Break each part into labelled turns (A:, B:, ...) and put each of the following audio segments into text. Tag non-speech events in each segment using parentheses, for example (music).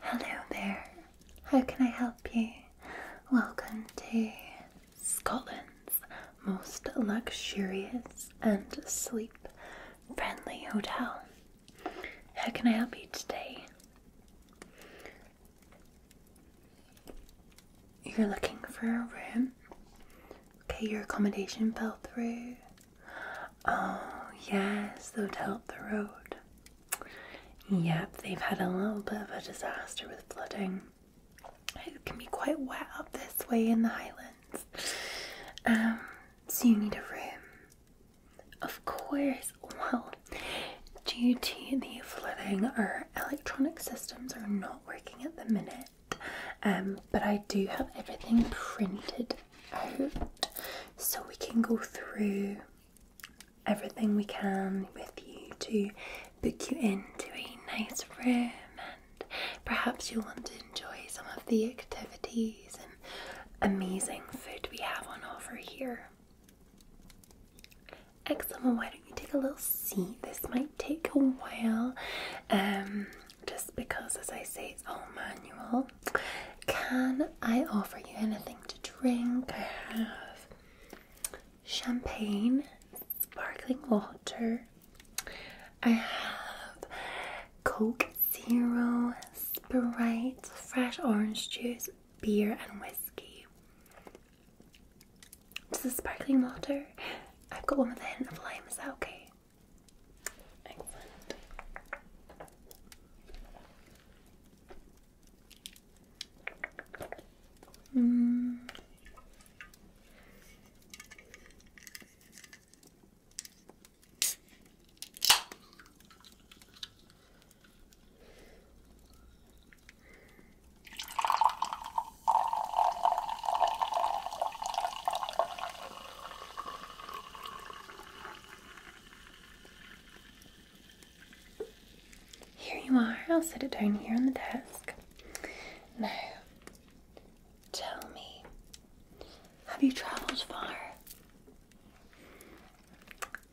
A: Hello there. How can I help you? Welcome to Scotland's most luxurious and sleep friendly hotel. How can I help you today? You're looking for a room? Okay, your accommodation fell through. Oh, yes, the hotel up the road. Yep, they've had a little bit of a disaster with flooding. It can be quite wet up this way in the Highlands. Um, so you need a room. Of course, well, due to the flooding, our electronic systems are not working at the minute. Um, but I do have everything printed out so we can go through everything we can with you to book you into a nice room perhaps you will want to enjoy some of the activities and amazing food we have on offer here. Excellent. Well, why don't you take a little seat? This might take a while, um, just because, as I say, it's all manual. Can I offer you anything to drink? I have champagne, sparkling water. I have Coke Zero, Sprite, fresh orange juice, beer, and whiskey. This is sparkling water. I've got one with a hint of lime, is that okay? Excellent. Mm. Here you are. I'll set it down here on the desk. Now, Tell me, have you traveled far?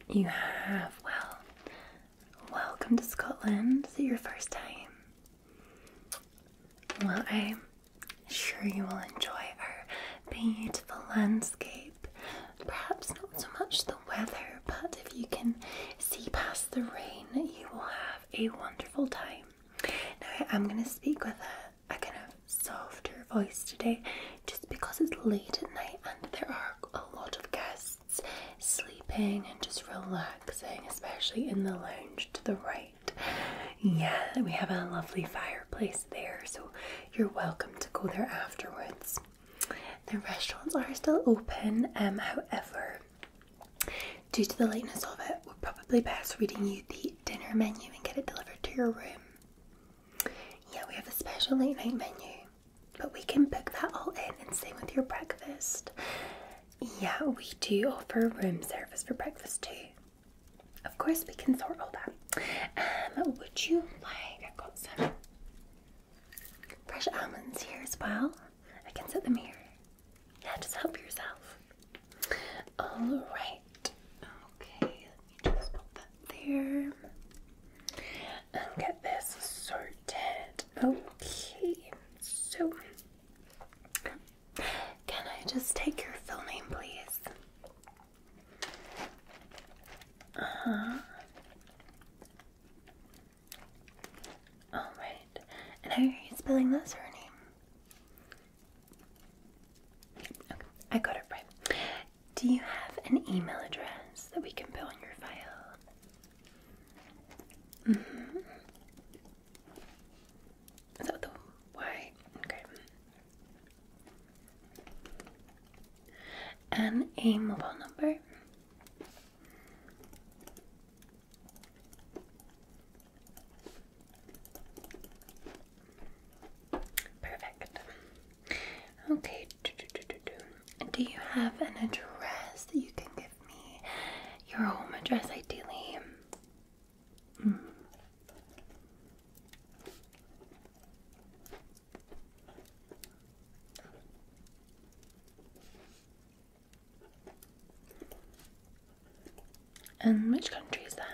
A: You have. Well, welcome to Scotland. Is it your first time? Well, I'm sure you will enjoy our beautiful landscape. Perhaps not so much the weather, but if you can see past the rain, you will have a wonderful time. I'm gonna speak with a, a kind of softer voice today, just because it's late at night and there are a lot of guests sleeping and just relaxing, especially in the lounge to the right. Yeah, we have a lovely fireplace there, so you're welcome to go there afterwards. The restaurants are still open, um, however, Due to the lateness of it, we are probably best reading you the dinner menu and get it delivered to your room. Yeah, we have a special late night menu, but we can book that all in and same with your breakfast. Yeah, we do offer room service for breakfast too. Of course, we can sort all that. Um, would you like? I've got some fresh almonds here as well. I can set them here. Yeah, just help yourself. Alright. Okay, let me just put that there. And get this sorted. Okay, so can I just take your full name, please? Uh huh. Alright. And how are you spelling that surname? Okay, I got it right. Do you have an email address that we can put on your file? Mm-hmm. Is that the Y? Okay. And a mobile number. Perfect. Okay. Do, do, do, do, do. do you have an address that you can give me? Your home address, ideally. Mm. And which country is that?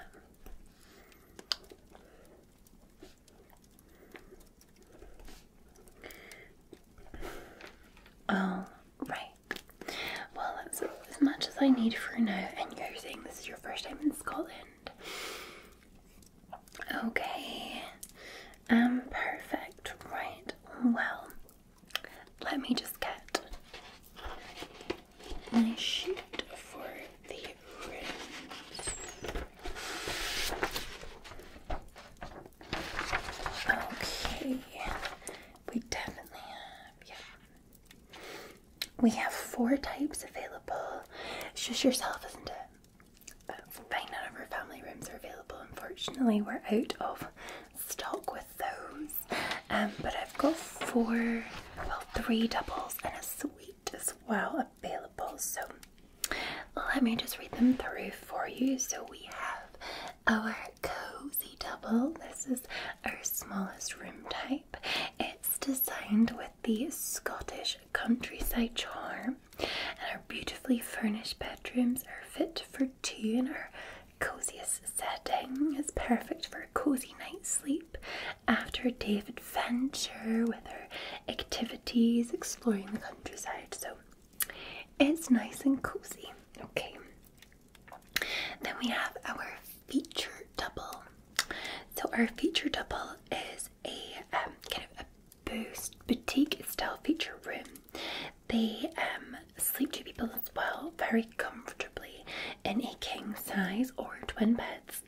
A: All oh, right. Well, that's as much as I need for now. And you're saying this is your first time in Scotland? Okay. Um, perfect. Right. Well, let me just get my sheet for the rims. Okay, we definitely have, yeah. We have four types available. It's just yourself, isn't it? But none of our family rooms are available, unfortunately. We're out of stock with those. Um, but I've got four, well, three doubles and a suite as well available. So let me just read them through for you. So we have our cozy double. This is our smallest room type. It's designed with the Scottish countryside charm, and our beautifully furnished bedrooms are fit for tea and our coziest setting is perfect for a cozy night's sleep after a day of adventure with our activities exploring the countryside. So it's nice and cozy. Okay. Then we have our feature double. So our feature double is a um, kind of a boost boutique style feature room they um, sleep two people as well, very comfortably in a king size or twin beds.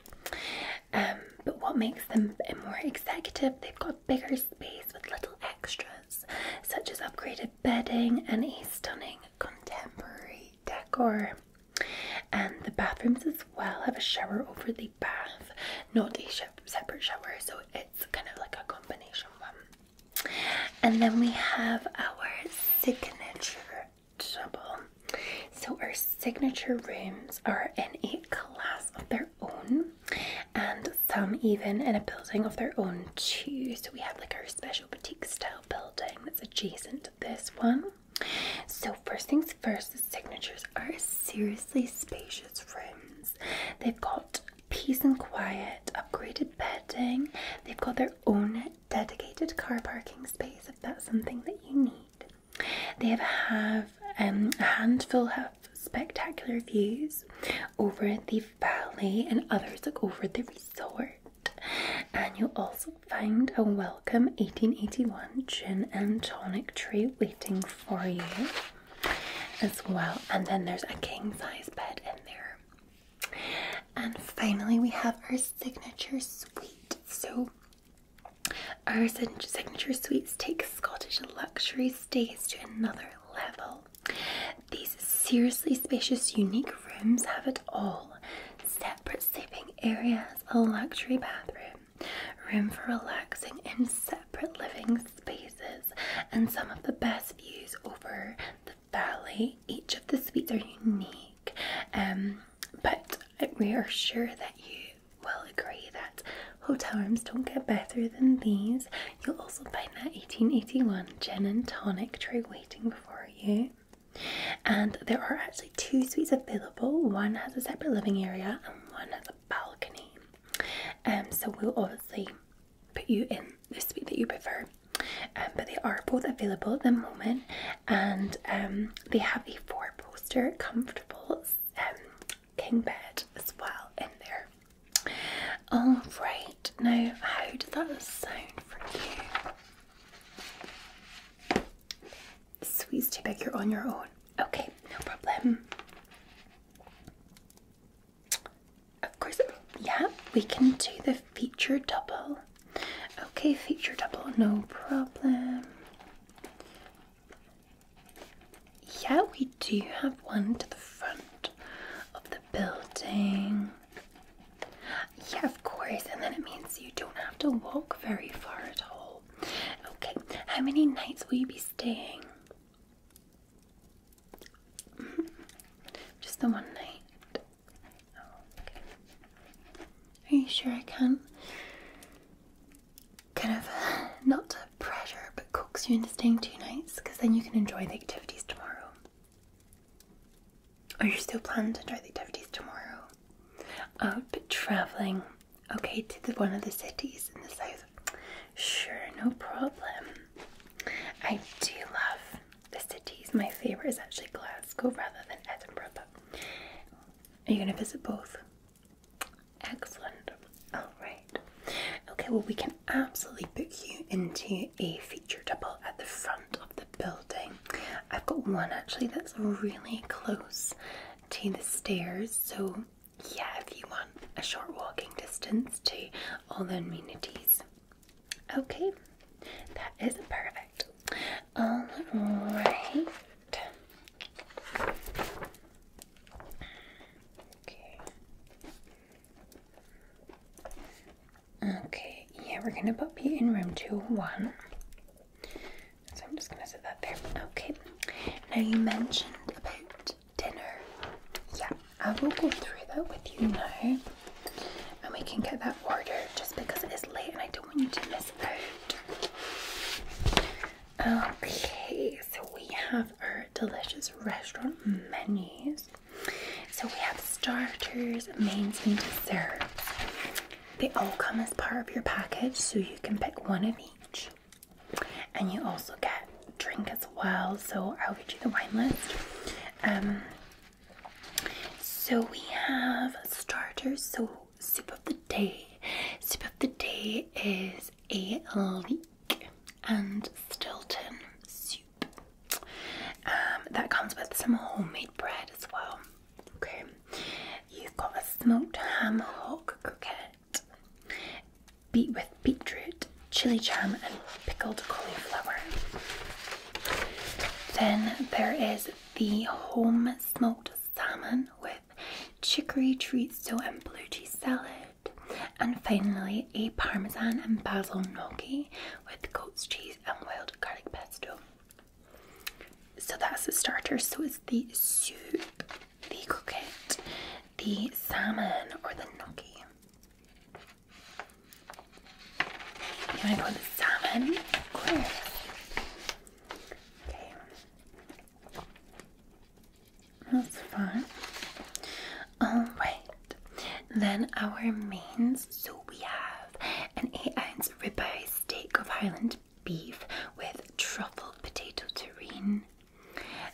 A: Um, but what makes them more executive, they've got bigger space with little extras, such as upgraded bedding and a stunning contemporary decor. And the bathrooms as well have a shower over the bath, not a separate shower, so it's kind of like a combination one. And then we have our signature double. So our signature rooms are in a class of their own, and some even in a building of their own too. So we have like our special boutique style building that's adjacent to this one. So first things first, the signatures are seriously spacious rooms. They've got peace and quiet, upgraded bedding. They've got their own dedicated car parking space if that's something that you need. They have um, a handful of spectacular views over the valley and others look over the resort. And you'll also find a welcome 1881 gin and tonic tray waiting for you as well. And then there's a king size bed in there and finally, we have our signature suite. So, our signature suites take Scottish luxury stays to another level. These seriously spacious, unique rooms have it all separate sleeping areas, a luxury bathroom, room for relaxing in separate living spaces, and some of the best views over the Valley. Each of the suites are unique, um, but we are sure that you will agree that hotel rooms don't get better than these. You'll also find that 1881 gin and tonic tray waiting before you. And there are actually two suites available. One has a separate living area and one has a balcony. Um, so we'll obviously put you in the sweet that you prefer. Um, but they are both available at the moment, and um, they have a four-poster comfortable um, king bed as well in there. All right, now how does that sound for you? Squeeze too big. You're on your own. Okay, no problem. Of course, yeah, we can do the feature double. Okay, feature double, no problem. Yeah, we do have one to the front of the building. Yeah, of course, and then it means you don't have to walk very far at all. Okay, how many nights will you be staying? (laughs) Just the one night. Oh, Are you sure I can? Kind of (laughs) not pressure, but coax you into staying two nights, because then you can enjoy the activities tomorrow. Are you still planning to enjoy the activities tomorrow. Out but traveling, okay, to the one of the cities in the south. Sure, no problem. I do love the cities. My favorite is actually Glasgow rather than Edinburgh, are you going to visit both? Excellent. Alright. Okay, well, we can absolutely book you into a feature double at the front of the building. I've got one actually that's really close to the stairs, so yeah, if you want a short walking distance to all the amenities. Okay, that is perfect. All right. Okay. yeah, we're gonna put you in room 201. So I'm just gonna set that there. Okay. Now you mentioned about dinner. Yeah, I will go through that with you now and we can get that order just because it is late and I don't want you to miss out. Okay, so we have our delicious restaurant menus. So we have starters, mains, and dessert. They all come as part of your package, so you can pick one of each. And you also get drink as well. So I'll read you the wine list. Um, so we have starters. So soup of the day. Soup of the day is a leek and Stilton soup. Um, that comes with some homemade bread as well. Okay, you've got a smoked ham hock croquette, beet with beetroot, chili jam, and pickled cauliflower. Then there is the home smoked salmon with chicory chorizo and blue cheese salad. And finally, a parmesan and basil gnocchi with goat's cheese and wild garlic pesto. So that's the starter. So it's the soup, the croquette, the salmon, or the gnocchi. You go with salmon? Of course. Okay. That's fun. Alright. Then our mains. So we have an 8 ounce ribeye steak of Highland beef with truffle potato terrine,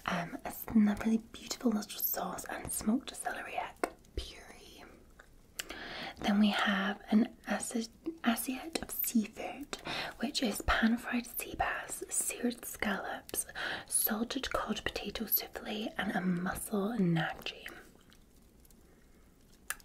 A: um, it's a really beautiful mustard sauce and smoked celeriac puree. Then we have an assiette of seafood, which is pan fried seabass, seared scallops, salted cod potato souffle, and a mussel nachi.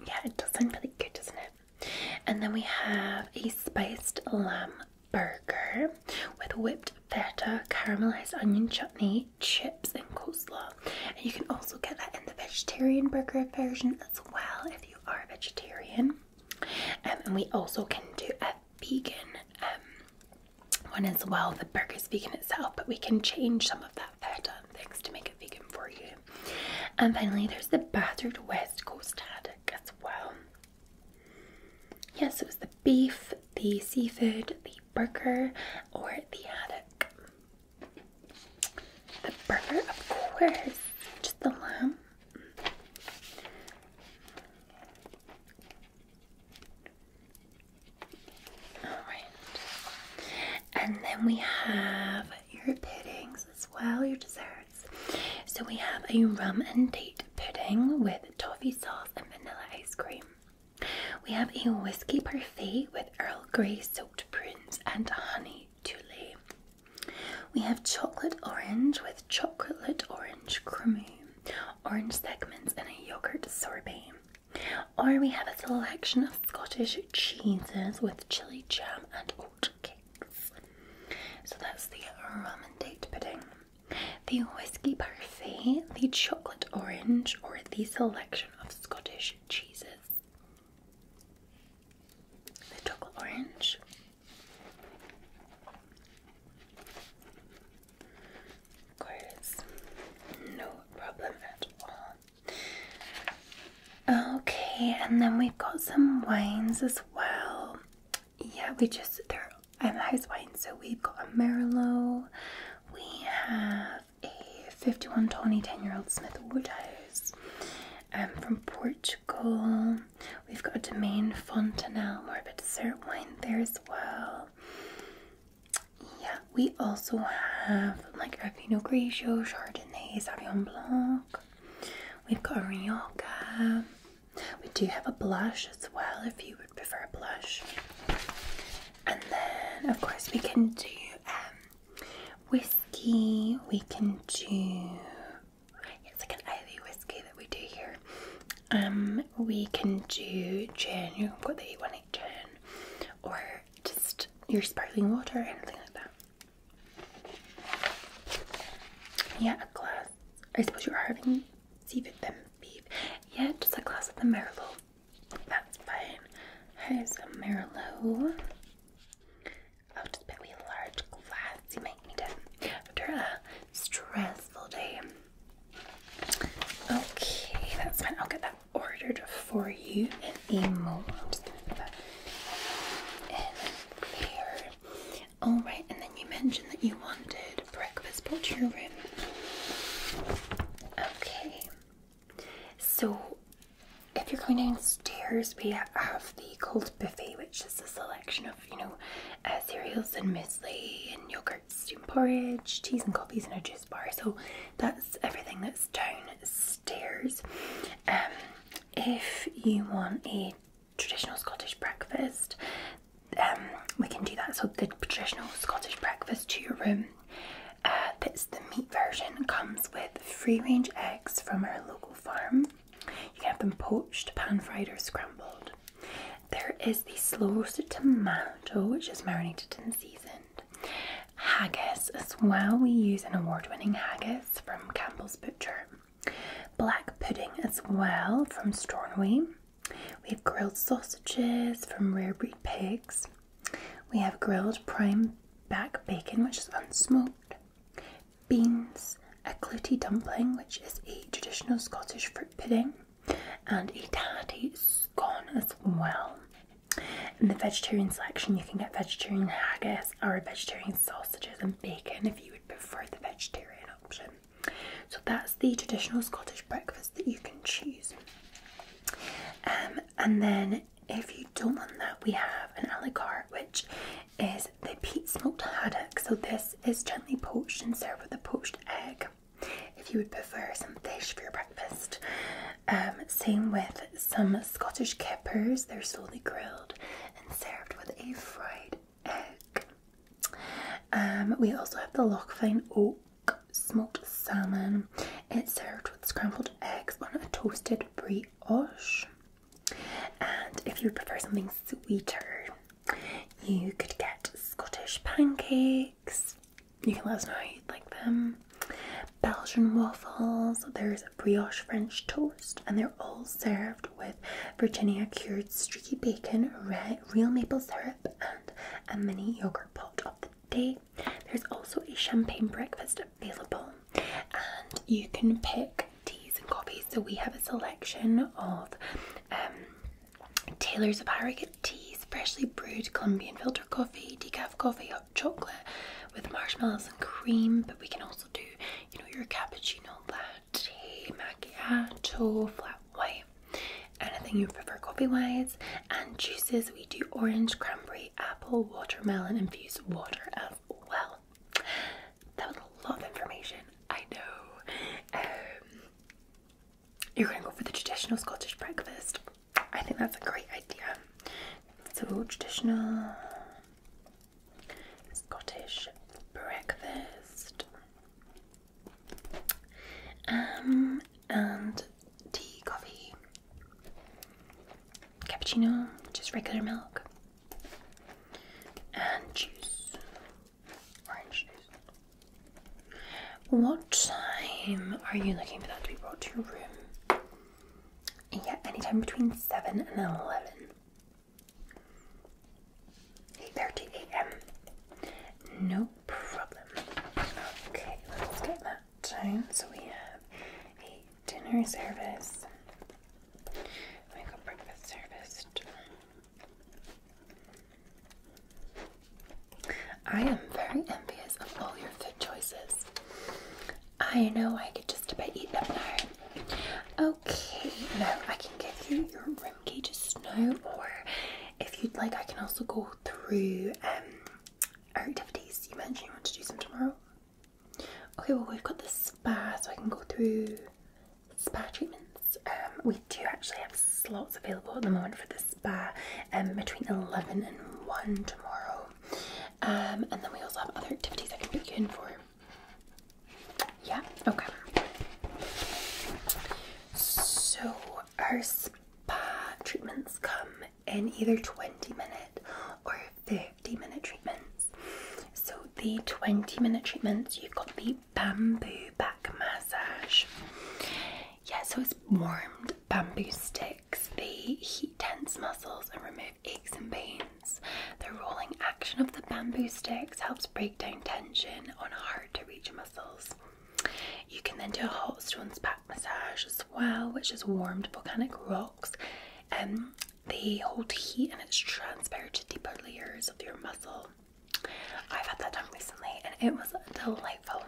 A: Yeah, it does sound really good, doesn't it? And then we have a spiced lamb burger with whipped feta, caramelized onion chutney, chips, and coleslaw. And you can also get that in the vegetarian burger version as well if you are vegetarian. Um, and we also can do a vegan um, one as well. The burger is vegan itself, but we can change some of that feta and things to make it vegan for you. And finally, there's the battered West Coast haddock as well. Yes, it was the beef, the seafood, the burger, or the haddock. The burger, of course, just the lamb. Alright. And then we have your puddings as well, your desserts. So we have a rum and date pudding with toffee sauce and vanilla cream. We have a whisky parfait with Earl Grey soaked prunes and honey tulle. We have chocolate orange with chocolate orange creamy, orange segments, and a yogurt sorbet. Or we have a selection of Scottish cheeses with chili jam and oatcakes. So that's the rum and date pudding the whiskey parfait, the chocolate orange, or the selection of Scottish cheeses. The chocolate orange. Of course, no problem at all. Okay, and then we've got some wines as well yeah, we just there. they're house wine. So we've got a Merlot. We have a 5120 10-year-old Smith Woodhouse. Um, from Portugal. We've got a Domaine Fontanel, more of a dessert wine there as well. Yeah, we also have like a Pinot Grigio, Chardonnay, Sauvignon Blanc. We've got a Rioja. We do have a blush as well if you would prefer a blush. And then, of course, we can do um, whiskey, we can do. It's like an Ivy whiskey that we do here. Um, we can do gin, you've you want, 818 gin, or just your sparkling water, anything like that. Yeah, a glass. I suppose you are having 7MB. Yeah, just a glass of the Merlot. That's fine. Here's a Merlot. I'll just bet we a large glass. You might need it after a stressful day. Okay, that's fine. I'll get that ordered for you in a moment. I'm Alright, and then you mentioned that you wanted breakfast brought your room. Okay. So, if you're going downstairs, we have the cold buffet, which is a selection of, you know, uh, cereals and misley and yogurt, steam porridge, cheese and coffees, and a juice bar. So, that's everything that's downstairs. Um, if you want a traditional Scottish breakfast, um, we can do that. So the traditional Scottish breakfast to your room. Uh, that's the meat version. Comes with free-range eggs from our local farm. You can have them poached, pan-fried, or scrambled. There is the slow roasted tomato, which is marinated and seasoned. Haggis as well. We use an award-winning haggis from Campbell's Butcher. Black pudding as well from Stornoway. We have grilled sausages from rare breed pigs. We have grilled prime back bacon, which is unsmoked, beans, a clouty dumpling, which is a traditional Scottish fruit pudding, and a tatty scone as well. In the vegetarian selection, you can get vegetarian haggis or vegetarian sausages and bacon if you would prefer the vegetarian option. So that's the traditional Scottish breakfast that you can choose. Um, and then if you don't want that, we have an a la which is the peat smoked haddock. So this is gently poached and served with a poached egg. If you would prefer some fish for your breakfast, um, same with some Scottish kippers. They're slowly grilled and served with a fried egg. Um, we also have the Lochfine Oak smoked salmon. It's served with scrambled eggs on a toasted brioche. And if you prefer something sweeter, you could get Scottish pancakes. You can let us know you'd like them. Belgian waffles, there's a brioche French toast, and they're all served with Virginia cured streaky bacon, red, real maple syrup, and a mini yogurt pot of the day. There's also a champagne breakfast available, and you can pick teas and coffees. So we have a selection of um, Taylor's of Harrogate teas, freshly brewed Colombian filter coffee, decaf coffee, hot chocolate with marshmallows and cream. But we can also do, you know, your cappuccino black tea, macchiato, flat white, anything you prefer coffee wise. And juices, we do orange, cranberry, apple, watermelon, infused water as well. That was a lot of information, I know. Um, you're going to go for the traditional Scottish breakfast. I think that's a great idea. So, traditional Scottish breakfast. Um, and tea, coffee, cappuccino, just regular milk, and juice, orange juice. What time are you looking for that to be brought to your room? Yeah, any time between 7 and 11. 8.30 a.m. No problem. Okay, let's get that down. So we have a dinner service. We got breakfast service. I am very envious of all your food choices. I know I could just about eat them all. Okay, now I can give you your room from Kay just now, or if you'd like, I can also go through um, our activities. You mentioned you want to do some tomorrow. Okay, well, we've got the spa, so I can go through spa treatments. Um, we do actually have slots available at the moment for the spa and um, between 11 and 1 tomorrow. and then we also have other activities I can book in for. Yeah, okay. So our spa treatments come in either 20 minute or 50 minute treatments. So the 20 minute treatments, you've got the bamboo back massage. Yeah, so it's warmed bamboo sticks. They heat tense muscles and remove aches and pains. The rolling action of the bamboo sticks helps break down tension on hard to reach muscles. You can then do a hot stones back massage as well, which is warmed volcanic rocks. and um, they hold heat and it's transferred to deeper layers of your muscle. I've had that done recently and it was delightful.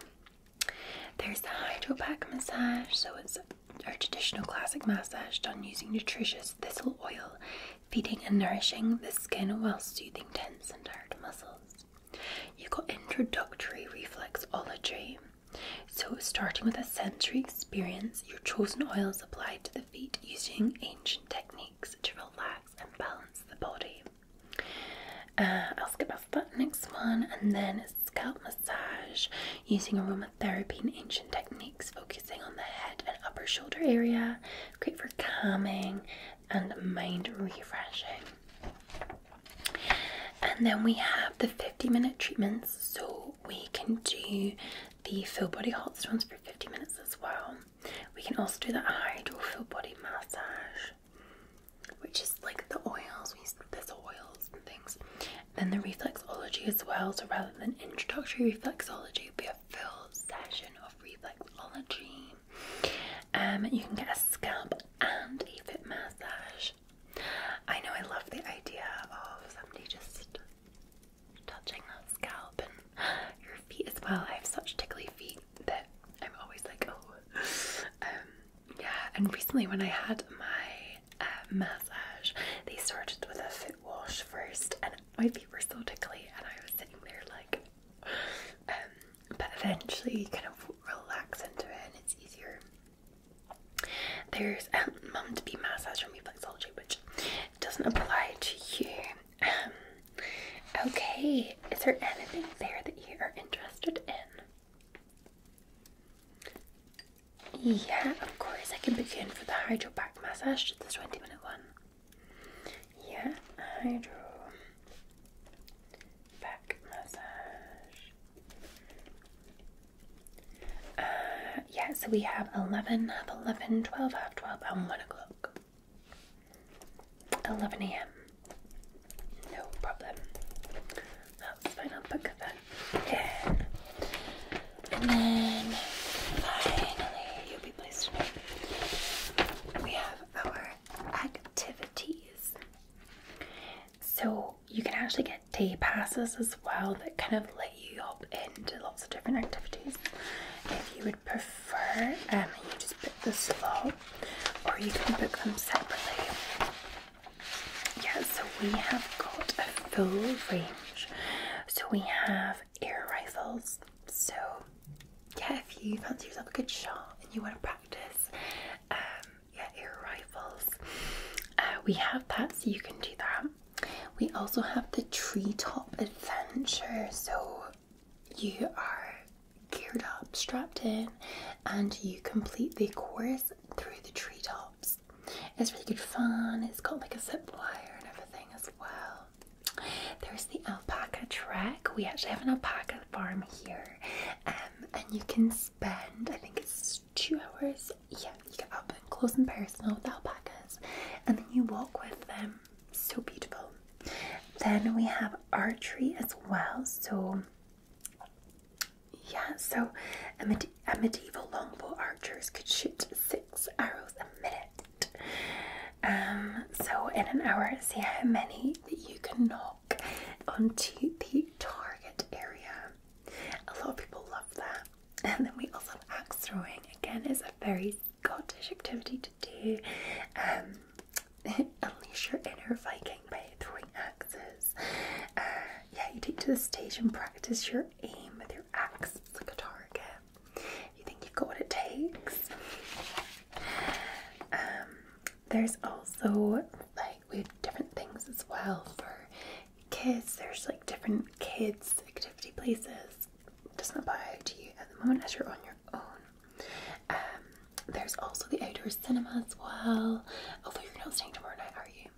A: There's the hydro pack massage, so it's our traditional classic massage done using nutritious thistle oil feeding and nourishing the skin while soothing tense and tired muscles. You've got introductory reflexology. So, starting with a sensory experience, your chosen oils applied to the feet using ancient techniques to relax and balance the body. Uh, I'll skip past that next one, and then scalp massage using aromatherapy and ancient techniques, focusing on the head upper shoulder area. Great for calming and mind refreshing. And then we have the 50 minute treatments, so we can do the full body hot stones for 50 minutes as well. We can also do the hydro full body massage, which is like the oils, we use this oils and things. Then the reflexology as well, so rather than introductory reflexology, we have full session of reflexology. Um, you can get a scalp and a foot massage. I know I love the idea of somebody just touching the scalp and your feet as well. I have such tickly feet that I'm always like, oh, um, yeah. And recently, when I had my uh, massage, they started with a foot wash first, and my feet were so tickly and I was sitting there like um, but eventually you kind of relax into it and it's easier. There's a um, mum to be massage from reflexology which doesn't apply to you. Um, okay, is there anything there that you are interested in? Yeah, of course. I can begin you for the hydro back massage, just the 20 minute one. Yeah, hydro. Back massage. Uh, yeah, so we have 11, have 11, 12, half 12, and 1 o'clock. 11 a.m. No problem. That's fine, I'll and then finally, you'll be placed in. We have our activities. So you can actually get day passes as well that kind of let you hop into lots of different activities. If you would prefer, um, you just book the slot, or you can book them separately. Yeah, so we have got a full range. So we have air rifles, so, yeah, if you fancy yourself a good shot and you want to practice, um, yeah, air rifles, uh, we have that, so you can do that. We also have the treetop adventure, so you are geared up, strapped in, and you complete the course through the treetops. It's really good fun, it's got like a zip wire and everything as well. There's the alpaca track. We actually have an alpaca farm here, um, and you can spend I think it's two hours. Yeah, you get up and close and personal with alpacas, and then you walk with them. So beautiful. Then we have archery as well. So yeah, so a medieval longbow archers could shoot six arrows a minute. Um, so in an hour, see how many that you can knock onto the target area. A lot of people love that. (laughs) And then we also have axe throwing. Again, is a very Scottish activity to do. Um, (laughs) unleash your inner Viking by throwing axes. Uh, yeah, you take to the stage and practice your aim with your axe. at the target. You think you've got what it takes? Um, there's also like we have different things as well for kids. There's like different kids activity places. doesn't apply to you at the moment as you're on your own. Um, there's also the outdoor cinema as well. Although you're not staying tomorrow night, are you?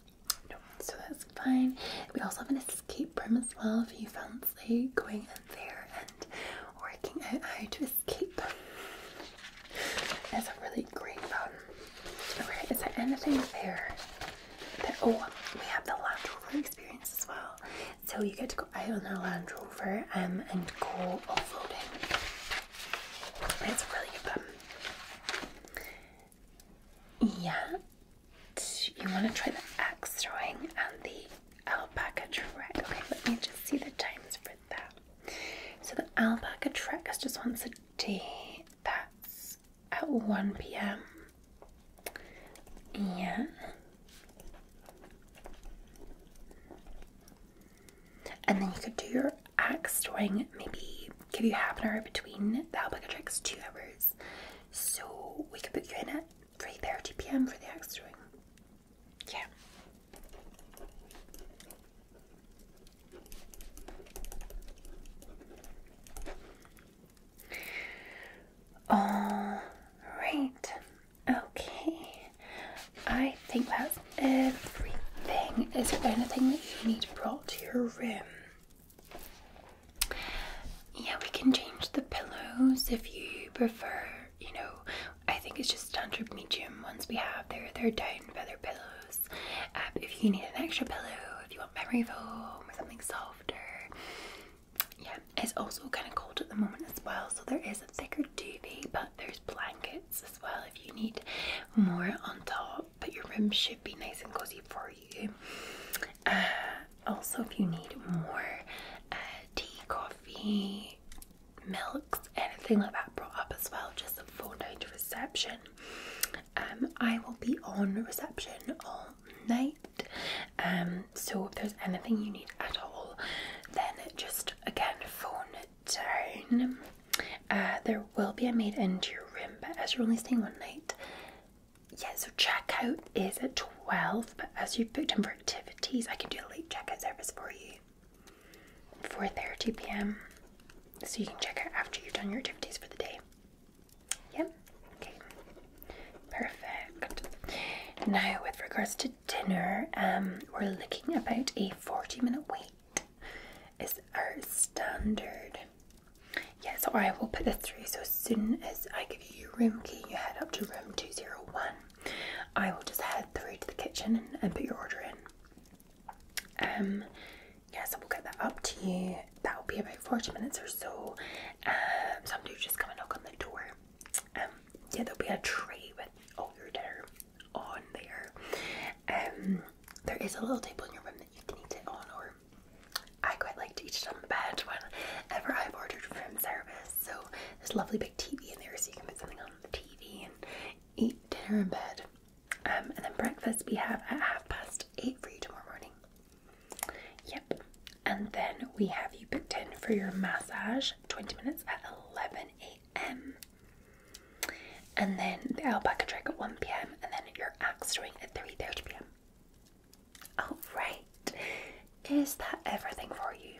A: No, so that's fine. We also have an escape room as well if you found going in there and working out how to escape. It's a really great one. is there anything there that oh we have the Land Rover experience as well. So you get to go out on a Land Rover um, and go off-roading. It's really fun. Yeah, you want to try the axe throwing and the alpaca trek. Okay, let me just see the times for that. So the alpaca trek is just once a day. That's at 1 p.m. Yeah. And then you could do your axe throwing, maybe give you half an hour between the alpaca treks, two hours. So we can put you in at 3:30 p.m. for the extra room. Yeah. All right. Okay. I think that's everything. Is there anything that you need brought to your room? Yeah, we can change the pillows if you prefer. You know, I think it's just standard medium ones we have. They're they're down feather pillows. Um, if you need an extra pillow, if you want memory foam or something softer. Yeah, it's also kind of cold at the moment as well, so there is a thicker duvet, but there's blankets as well if you need more on top. But your room should be nice and cozy for you. Uh, also, if you need more uh, tea, coffee, milks, anything like that brought up as well, just a phone down to reception. Um, I will be on reception all night. Um, so if there's anything you need at all, then just again phone down. Uh, there will be a maid into your room, but as you're only staying one night, yeah, so checkout is at 12, but as you've booked in for activities, I can do a late checkout service for you. For 4.30 p.m. So you can check out after you've done your activities for the day. Yep. Okay. Perfect. Now, with regards to dinner, um, we're looking about a 40 minute wait is our standard yeah, so I will put this through. So as soon as I give you your room key, you head up to room 201. I will just head through to the kitchen and, put your order in. Um, yeah, so we'll get that up to you. That'll be about 40 minutes or so. Um, just come and on the door. Um, yeah, there'll be a tray with all your dinner on there. Um, there is a little table in your room that you can eat it on or I quite like to eat it on the bed whenever I've ordered room service. So there's a lovely big TV in there, so you can put something on the TV and eat dinner in bed. Um, and then breakfast we have at half past eight for you tomorrow morning. Yep. And then we have you booked in for your massage, 20 minutes at 11 a.m. And then the alpaca trick at 1 p.m. And then your axe throwing at 3:30 p.m. All oh, right. Is that everything for you?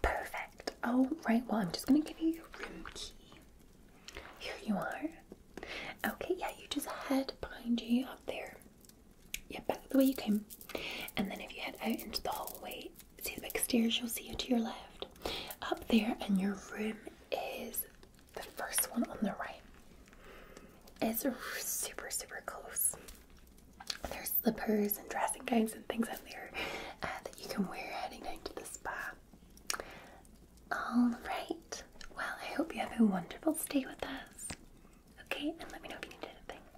A: Perfect. All oh, right. Well, I'm just going to give you your room key. Here you are. Okay. Yeah. You just head behind you up there. Yeah, back the way you came. And then if you head out into the hallway, see the big stairs. You'll see it to your left. Up there, and your room is the first one on the right is super, super close. There's slippers and dressing gowns and things in there uh, that you can wear heading down to the spa. All right. Well, I hope you have a wonderful stay with us. Okay, and let me know if you need anything.